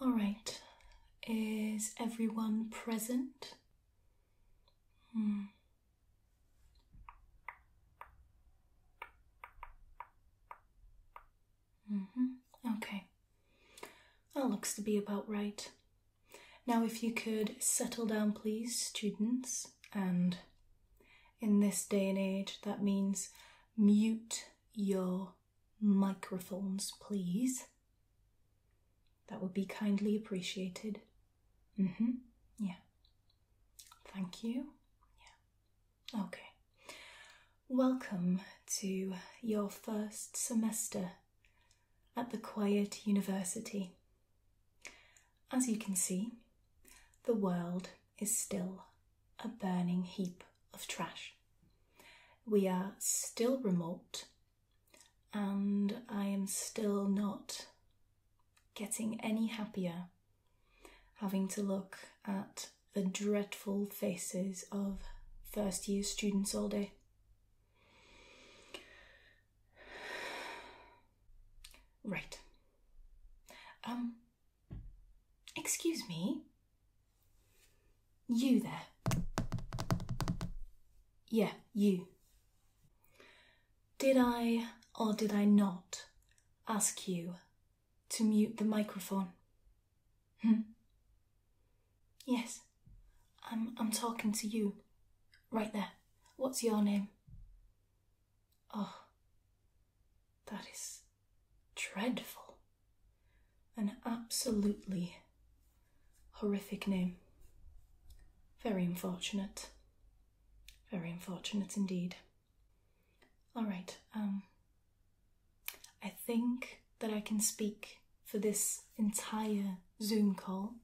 All right, is everyone present? Hmm. mm Okay. That looks to be about right. Now, if you could settle down, please, students, and in this day and age, that means mute your microphones, please. That would be kindly appreciated. Mm hmm. Yeah. Thank you. Yeah. Okay. Welcome to your first semester at the Quiet University. As you can see, the world is still a burning heap of trash. We are still remote, and I am still not getting any happier having to look at the dreadful faces of first year students all day. Right. Um, Excuse me? You there. Yeah, you. Did I or did I not ask you to mute the microphone? Hmm? Yes, I'm, I'm talking to you. Right there. What's your name? Oh, that is dreadful. An absolutely horrific name. Very unfortunate. Very unfortunate indeed. All right, um, I think that I can speak for this entire Zoom call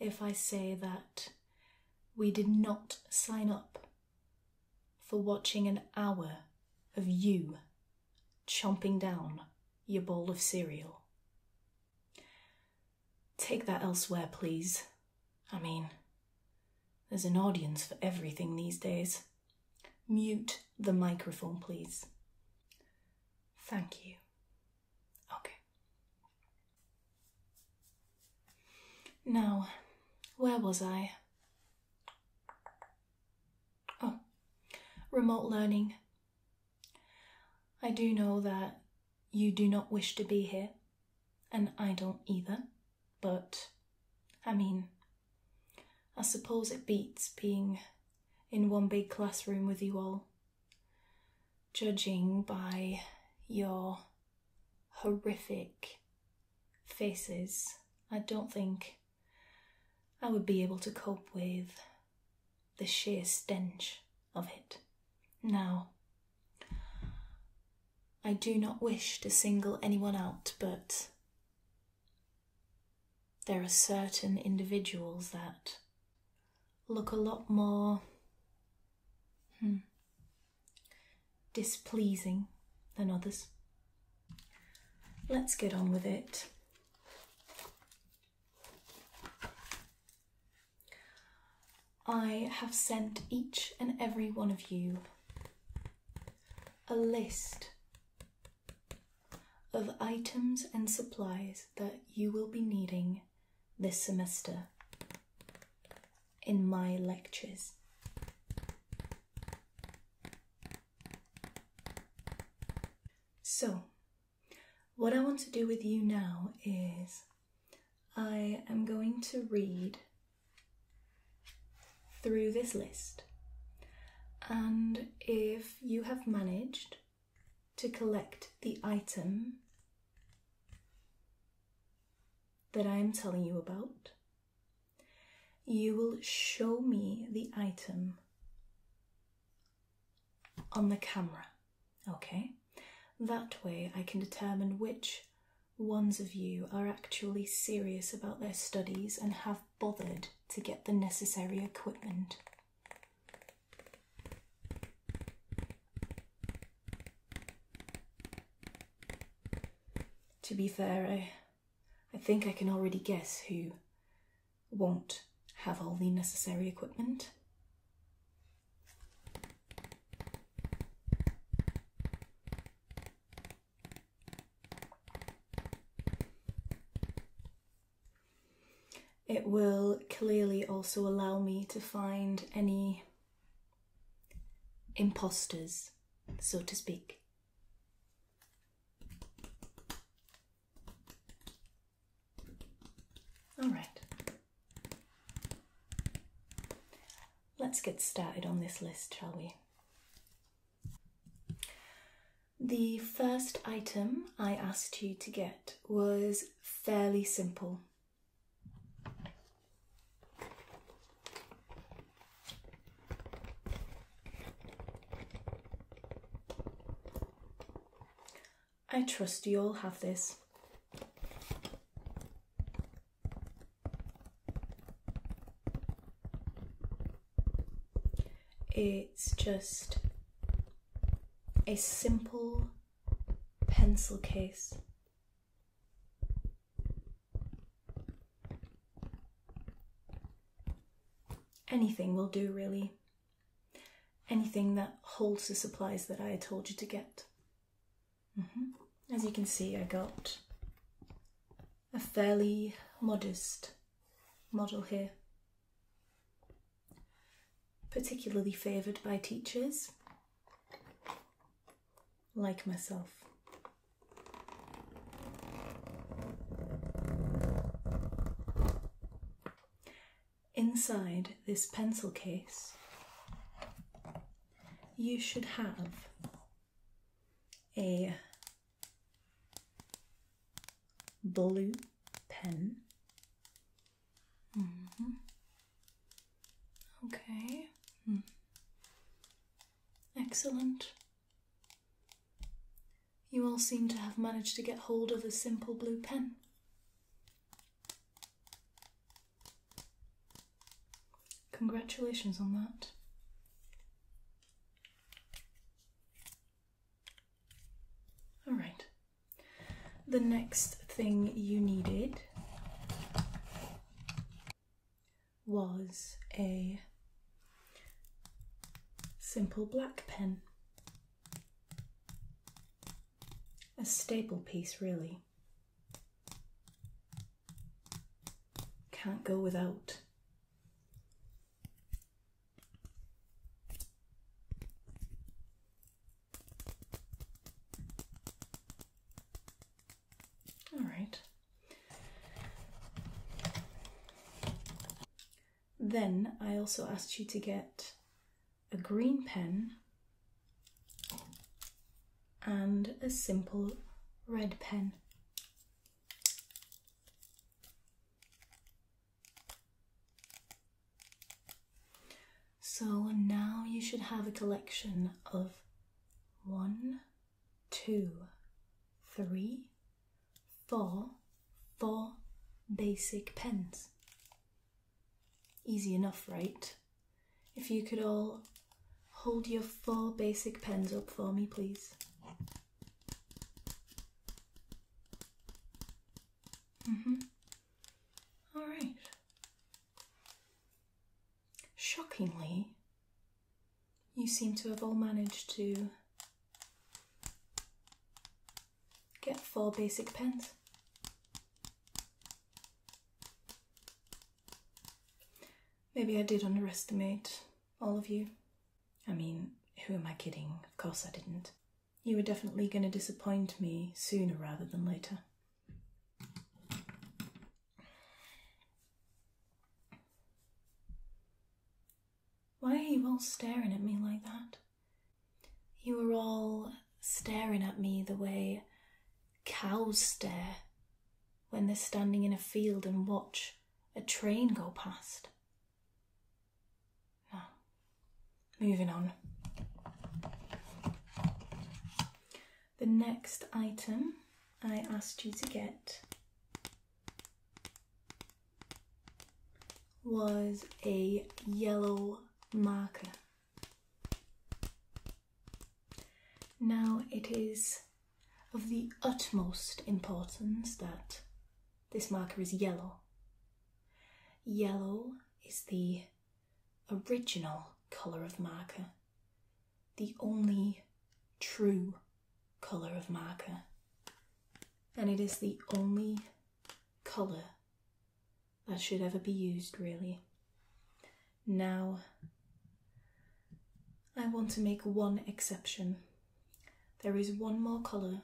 if I say that we did not sign up for watching an hour of you chomping down your bowl of cereal. Take that elsewhere, please. I mean, there's an audience for everything these days. Mute the microphone, please. Thank you. Okay. Now, where was I? Oh, remote learning. I do know that you do not wish to be here, and I don't either, but I mean, I suppose it beats being in one big classroom with you all, judging by your horrific faces. I don't think I would be able to cope with the sheer stench of it. Now, I do not wish to single anyone out, but there are certain individuals that look a lot more hmm, displeasing than others. Let's get on with it. I have sent each and every one of you a list of items and supplies that you will be needing this semester in my lectures. So, what I want to do with you now is I am going to read through this list. And if you have managed to collect the item that I am telling you about, you will show me the item on the camera, okay? That way I can determine which ones of you are actually serious about their studies and have bothered to get the necessary equipment. To be fair, I I think I can already guess who won't have all the necessary equipment. It will clearly also allow me to find any imposters, so to speak. All right. Let's get started on this list, shall we? The first item I asked you to get was fairly simple. I trust you all have this. It's just a simple pencil case Anything will do, really. Anything that holds the supplies that I told you to get. Mm-hmm. As you can see, I got a fairly modest model here, particularly favoured by teachers like myself. Inside this pencil case, you should have a blue pen. Mm-hmm. Okay. Hmm. Excellent. You all seem to have managed to get hold of a simple blue pen. Congratulations on that. Alright. The next thing you needed was a Simple black pen. A staple piece, really. Can't go without. All right. Then I also asked you to get a green pen and a simple red pen. So now you should have a collection of one, two, three, for four basic pens. Easy enough, right? If you could all hold your four basic pens up for me, please. Mm-hmm. All right. Shockingly, you seem to have all managed to get four basic pens. Maybe I did underestimate all of you. I mean, who am I kidding? Of course I didn't. You were definitely going to disappoint me sooner rather than later. Why are you all staring at me like that? You are all staring at me the way cows stare when they're standing in a field and watch a train go past. Now, moving on. The next item I asked you to get was a yellow marker. Now it is of the utmost importance that this marker is yellow. Yellow is the original colour of marker, the only true colour of marker and it is the only colour that should ever be used, really. Now, I want to make one exception. There is one more colour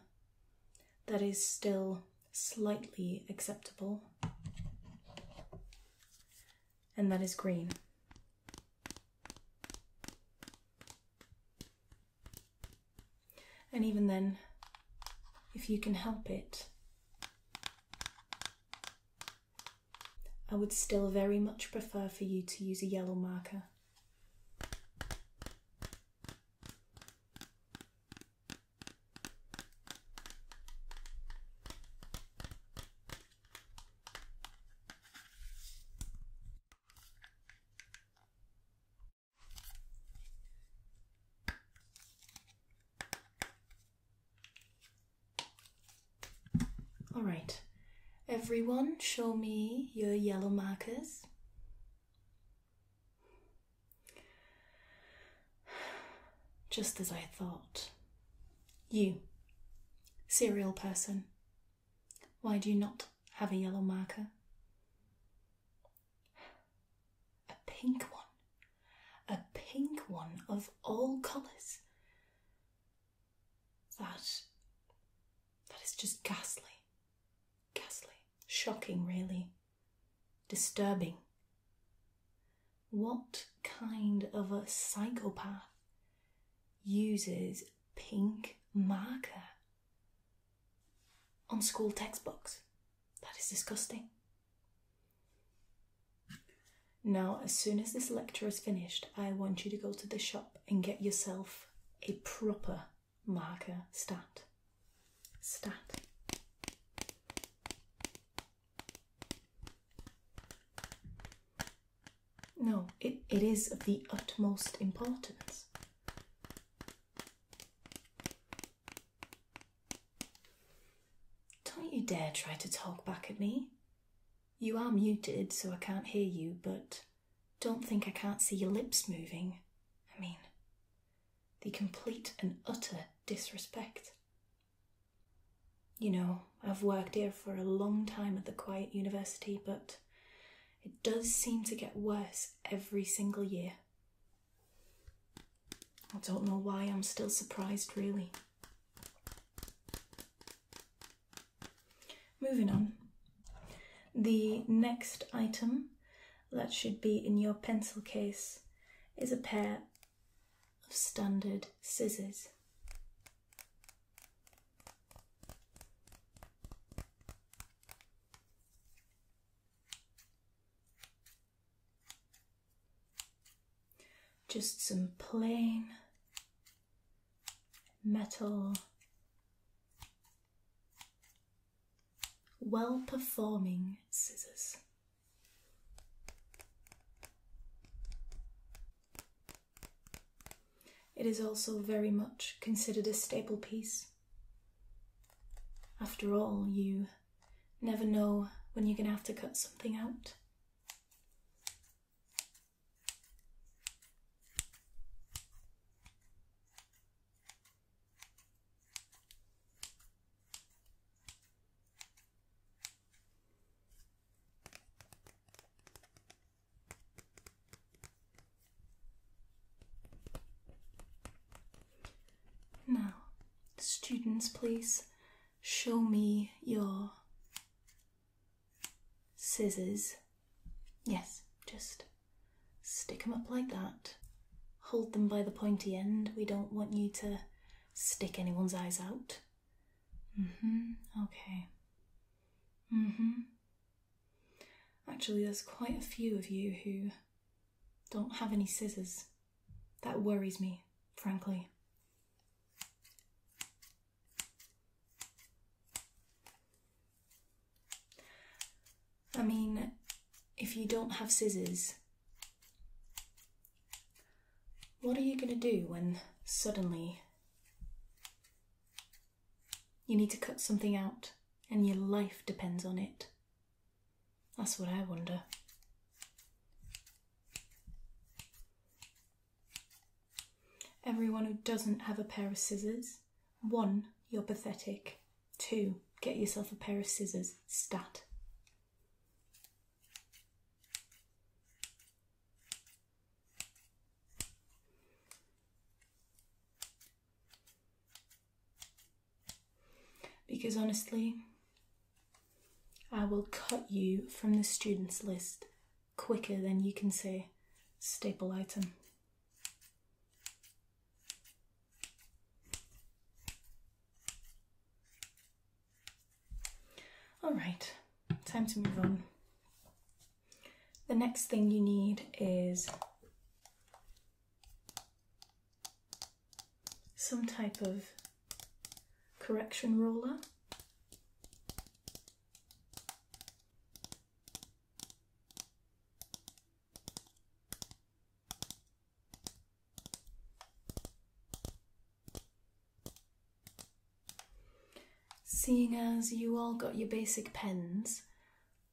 that is still slightly acceptable, and that is green. And even then, if you can help it, I would still very much prefer for you to use a yellow marker. All right, everyone, show me your yellow markers. Just as I thought. You, serial person, why do you not have a yellow marker? A pink one. A pink one of all colours. That. that is just ghastly. Ghastly. Shocking, really. Disturbing. What kind of a psychopath uses pink marker? on school textbooks. That is disgusting. Now, as soon as this lecture is finished, I want you to go to the shop and get yourself a proper marker stat. Stat. No, it, it is of the utmost importance. Don't you dare try to talk back at me. You are muted, so I can't hear you, but don't think I can't see your lips moving. I mean, the complete and utter disrespect. You know, I've worked here for a long time at the Quiet University, but it does seem to get worse every single year. I don't know why I'm still surprised, really. Moving on. The next item that should be in your pencil case is a pair of standard scissors. Just some plain metal, well performing scissors. It is also very much considered a staple piece after all, you never know when you're going to have to cut something out. Now, students, please show me your scissors. Yes, just stick them up like that. Hold them by the pointy end. We don't want you to stick anyone's eyes out. Mm hmm. Okay. Mm hmm. Actually, there's quite a few of you who don't have any scissors. That worries me, frankly. I mean, if you don't have scissors, what are you going to do when suddenly you need to cut something out, and your life depends on it. That's what I wonder. Everyone who doesn't have a pair of scissors, one, you're pathetic. Two, get yourself a pair of scissors, stat. Because honestly, I will cut you from the students list quicker than you can say staple item. Alright, time to move on. The next thing you need is some type of correction roller. Seeing as you all got your basic pens,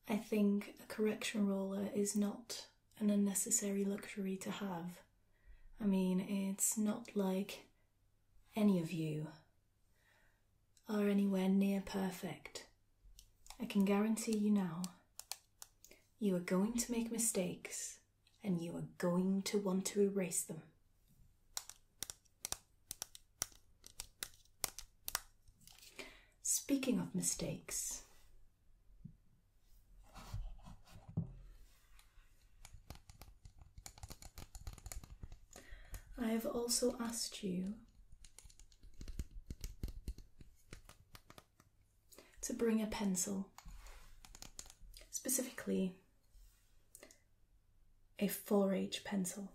I think a correction roller is not an unnecessary luxury to have. I mean, it's not like any of you are anywhere near perfect. I can guarantee you now, you are going to make mistakes and you are going to want to erase them. Speaking of mistakes, I have also asked you to bring a pencil, specifically a 4H pencil.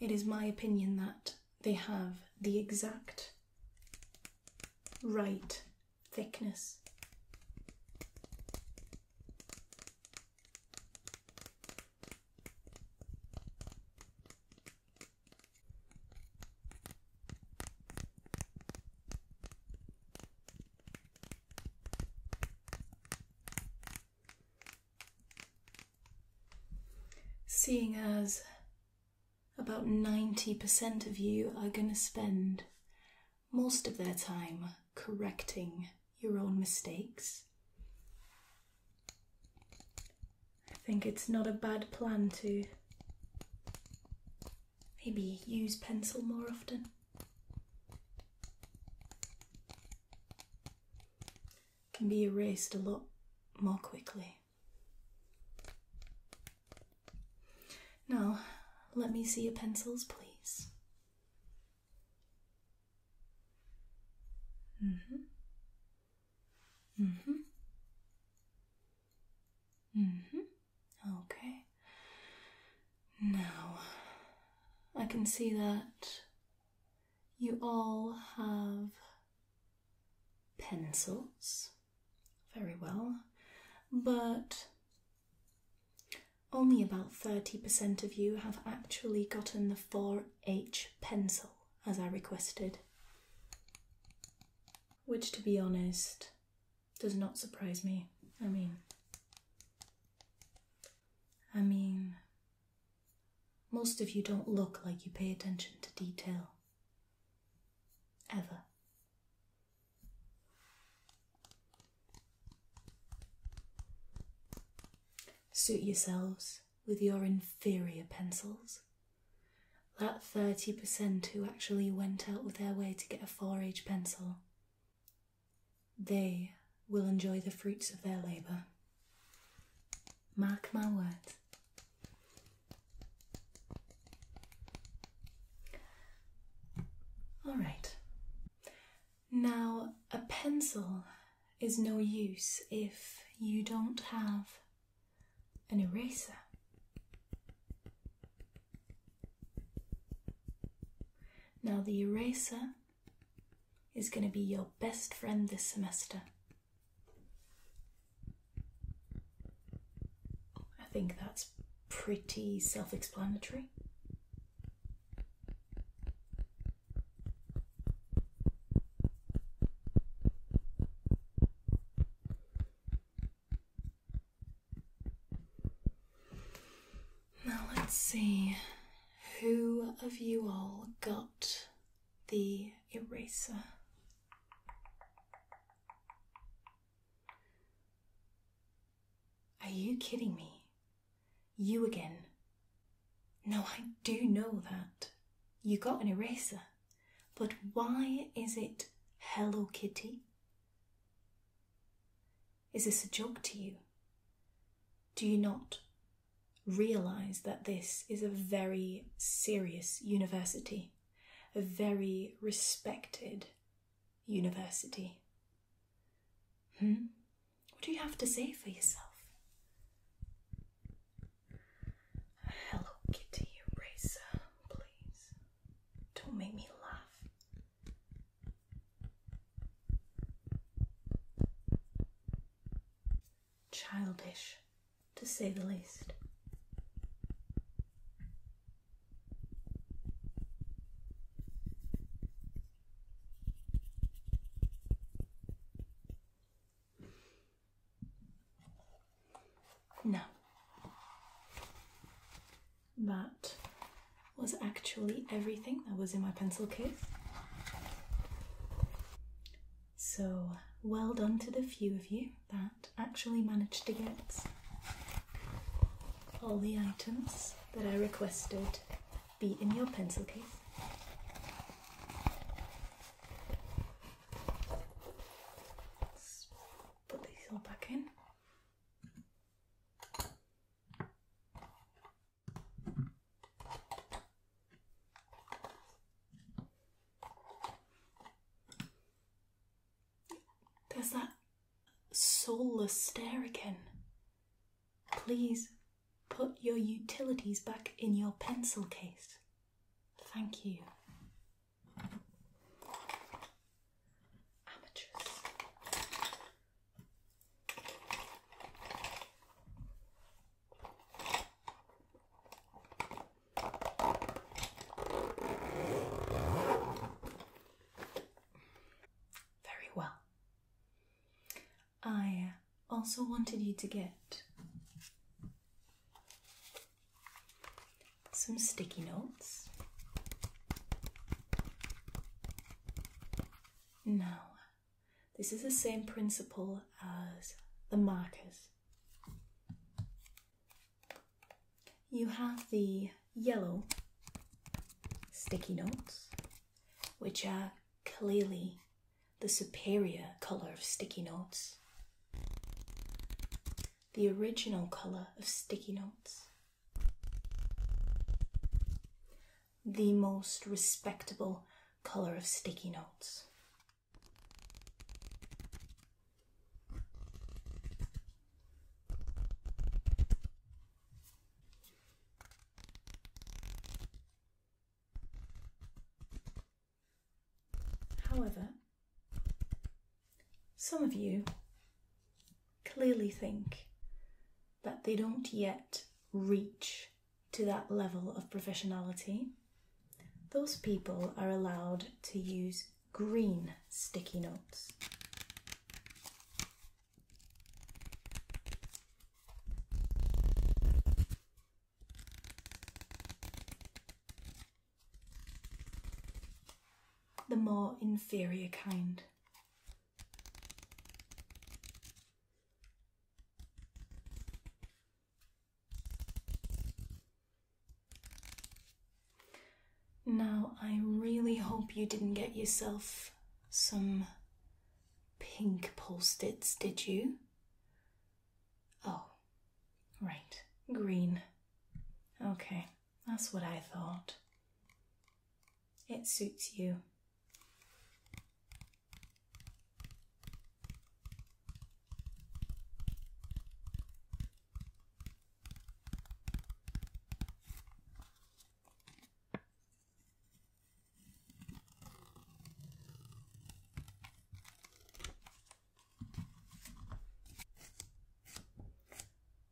It is my opinion that they have the exact right thickness. Seeing as about 90% of you are going to spend most of their time correcting your own mistakes, I think it's not a bad plan to maybe use pencil more often can be erased a lot more quickly. Now, let me see your pencils, please. hmm hmm hmm Okay. Now, I can see that you all have pencils. Very well. But only about 30% of you have actually gotten the 4H pencil as I requested. Which, to be honest, does not surprise me. I mean, I mean, most of you don't look like you pay attention to detail. Ever. Suit yourselves with your inferior pencils. That 30% who actually went out of their way to get a 4H pencil they will enjoy the fruits of their labour. Mark my words. All right. Now, a pencil is no use if you don't have an eraser. Now, the eraser is going to be your best friend this semester. I think that's pretty self explanatory. Now let's see who of you all got the eraser. Are you kidding me? You again. No, I do know that. You got an eraser. But why is it Hello Kitty? Is this a joke to you? Do you not realize that this is a very serious university, a very respected university? Hmm? What do you have to say for yourself? Hello, Kitty Eraser, please. Don't make me laugh. Childish, to say the least. No. But was actually everything that was in my pencil case. So, well done to the few of you that actually managed to get all the items that I requested be in your pencil case. Let's put these all back in. There's that soulless stare again. Please put your utilities back in your pencil case. Thank you. Amateurs. Very well. I also wanted you to get some sticky notes. Now, this is the same principle as the markers. You have the yellow sticky notes, which are clearly the superior colour of sticky notes. The original colour of sticky notes the most respectable color of sticky notes. However, some of you clearly think that they don't yet reach to that level of professionality, those people are allowed to use green sticky notes. The more inferior kind. Now, I really hope you didn't get yourself some pink post did you? Oh, right, green. Okay, that's what I thought. It suits you.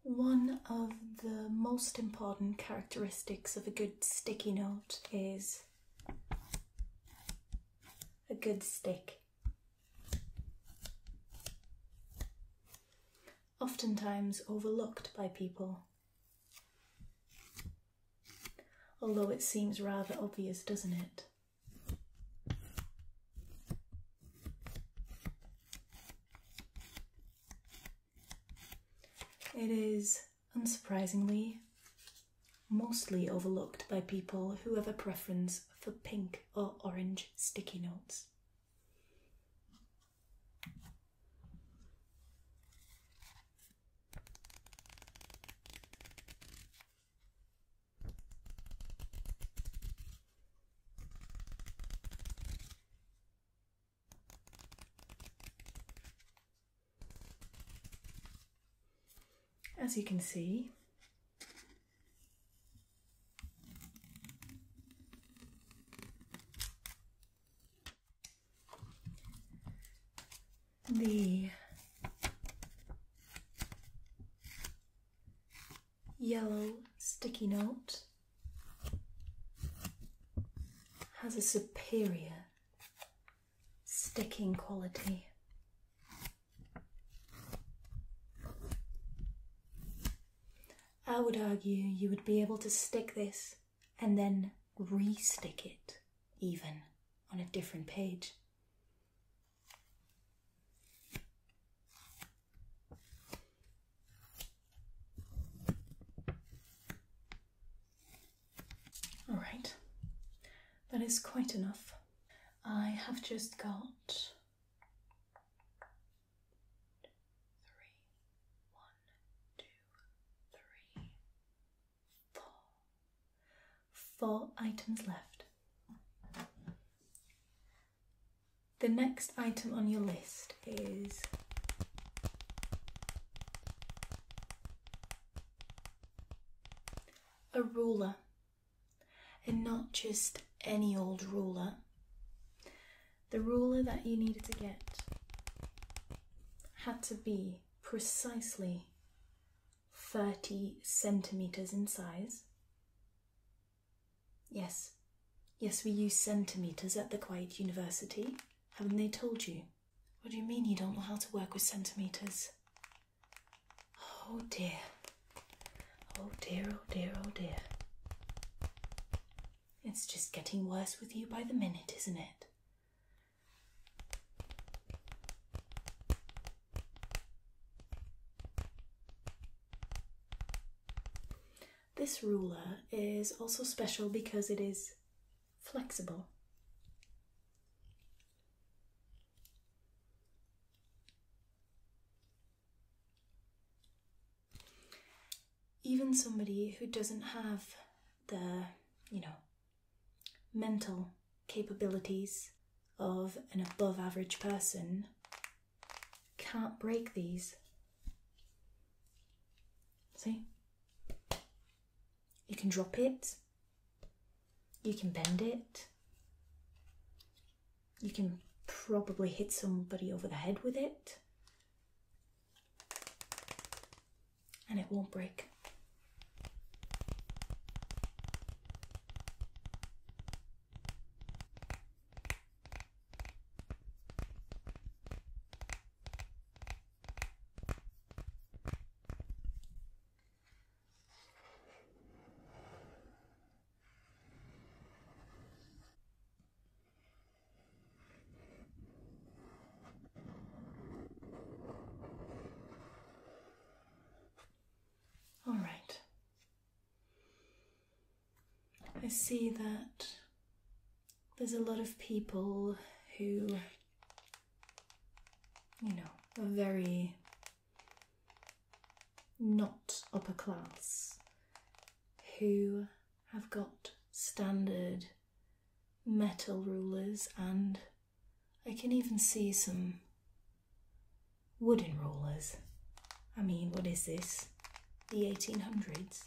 One of the most important characteristics of a good sticky note is a good stick. Oftentimes overlooked by people, although it seems rather obvious, doesn't it? It is, unsurprisingly, mostly overlooked by people who have a preference for pink or orange sticky notes. As you can see, the yellow sticky note has a superior sticking quality. I would argue you would be able to stick this and then re stick it, even on a different page. All right, that is quite enough. I have just got three, one, two, three, four, four items left. The next item on your list is a ruler, and not just any old ruler, the ruler that you needed to get had to be precisely 30 centimetres in size. Yes, yes, we use centimetres at the Quiet University. Haven't they told you? What do you mean you don't know how to work with centimetres? Oh dear. Oh dear, oh dear, oh dear. It's just getting worse with you by the minute, isn't it? This ruler is also special because it is flexible. Even somebody who doesn't have the, you know, mental capabilities of an above average person can't break these. See? You can drop it. You can bend it. You can probably hit somebody over the head with it. And it won't break. All right. I see that there's a lot of people who you know, a very not upper class who have got standard metal rulers and I can even see some wooden rulers. I mean, what is this? The 1800s.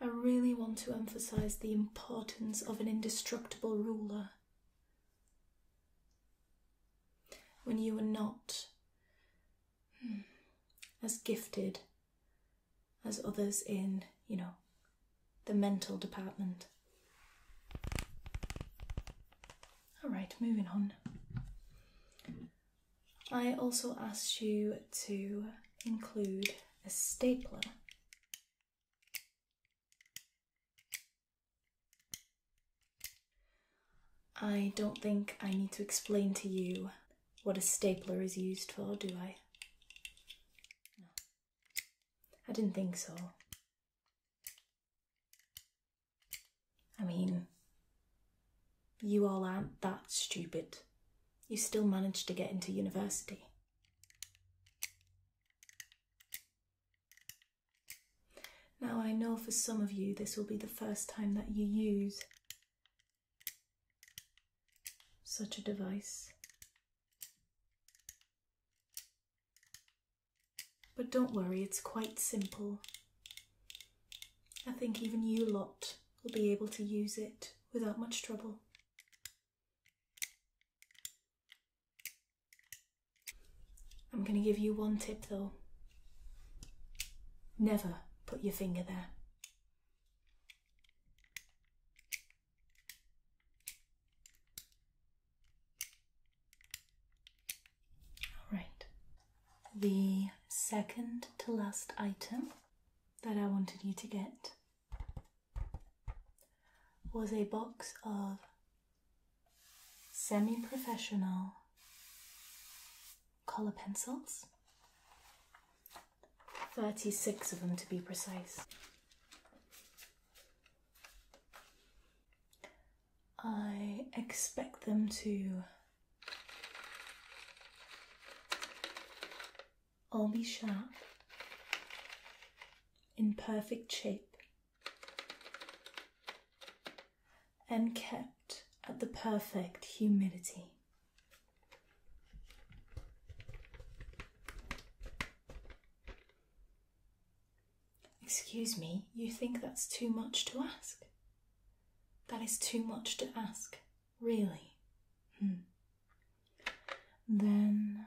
I really want to emphasize the importance of an indestructible ruler. When you are not hmm, as gifted as others in, you know, the mental department. Alright, moving on. I also asked you to include a stapler. I don't think I need to explain to you what a stapler is used for, do I? No. I didn't think so. I mean, you all aren't that stupid. You still managed to get into university. Now, I know for some of you this will be the first time that you use such a device. But don't worry, it's quite simple. I think even you lot will be able to use it without much trouble. I'm going to give you one tip though. Never put your finger there. All right, the second to last item that I wanted you to get was a box of semi professional color pencils. 36 of them to be precise. I expect them to all be sharp, in perfect shape, and kept at the perfect humidity. Excuse me, you think that's too much to ask? That is too much to ask, really. Hmm. Then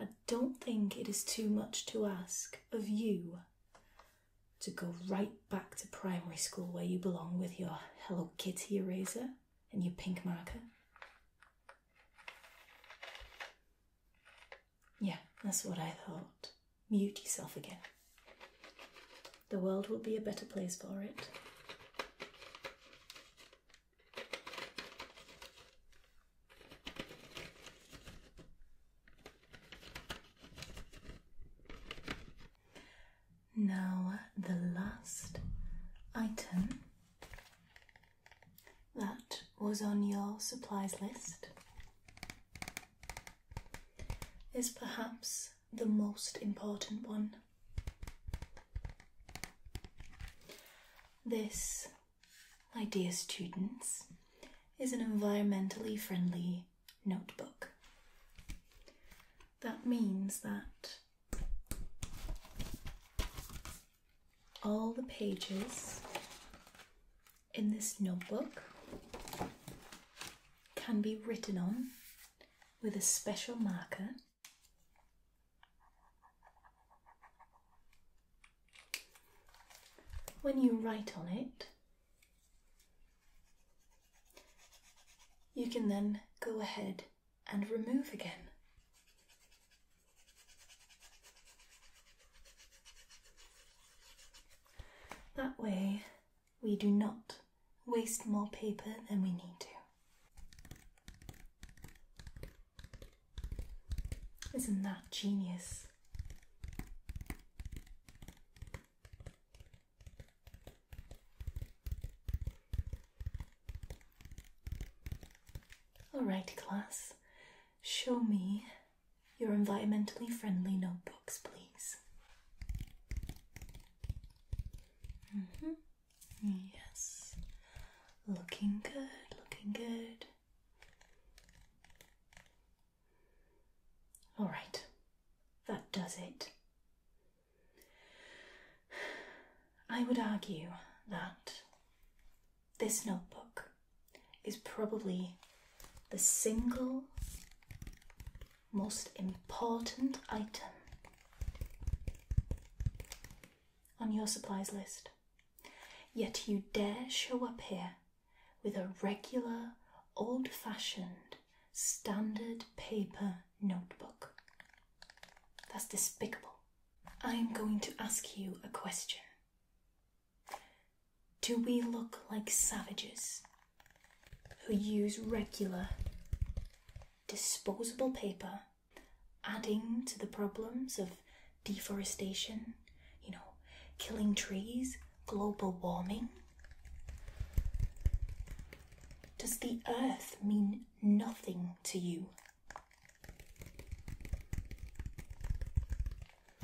I don't think it is too much to ask of you to go right back to primary school where you belong with your Hello Kitty eraser and your pink marker. Yeah, that's what I thought. Mute yourself again. The world will be a better place for it. Now, the last item that was on your supplies list is perhaps the most important one. This, my dear students, is an environmentally friendly notebook. That means that all the pages in this notebook can be written on with a special marker. When you write on it, you can then go ahead and remove again. That way, we do not waste more paper than we need to. Isn't that genius? Alright, class, Show me your environmentally friendly notebooks, please. Mm-hmm. Yes. Looking good, looking good. All right, that does it. I would argue that this notebook is probably the single most important item on your supplies list. Yet you dare show up here with a regular, old fashioned, standard paper notebook. That's despicable. I am going to ask you a question. Do we look like savages who use regular disposable paper, adding to the problems of deforestation, you know, killing trees, global warming? Does the earth mean nothing to you?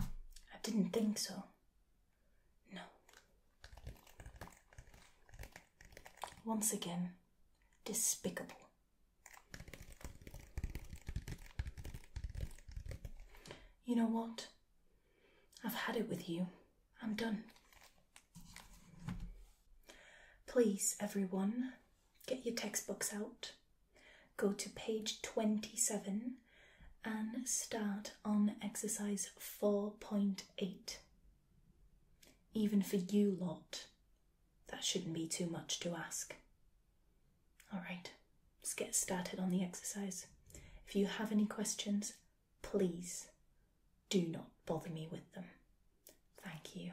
I didn't think so. No. Once again, despicable. You know what? I've had it with you. I'm done. Please, everyone, get your textbooks out, go to page 27 and start on exercise 4.8. Even for you lot, that shouldn't be too much to ask. Alright, let's get started on the exercise. If you have any questions, please do not bother me with them. Thank you.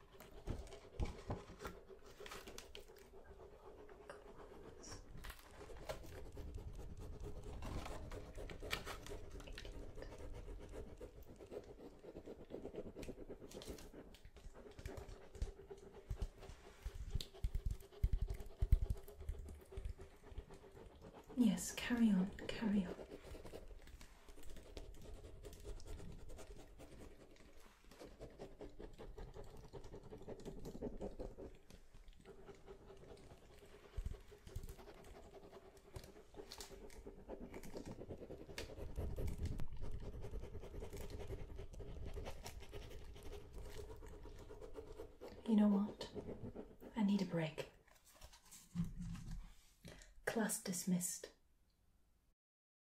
Yes, carry on, carry on. You know what? I need a break. Class dismissed.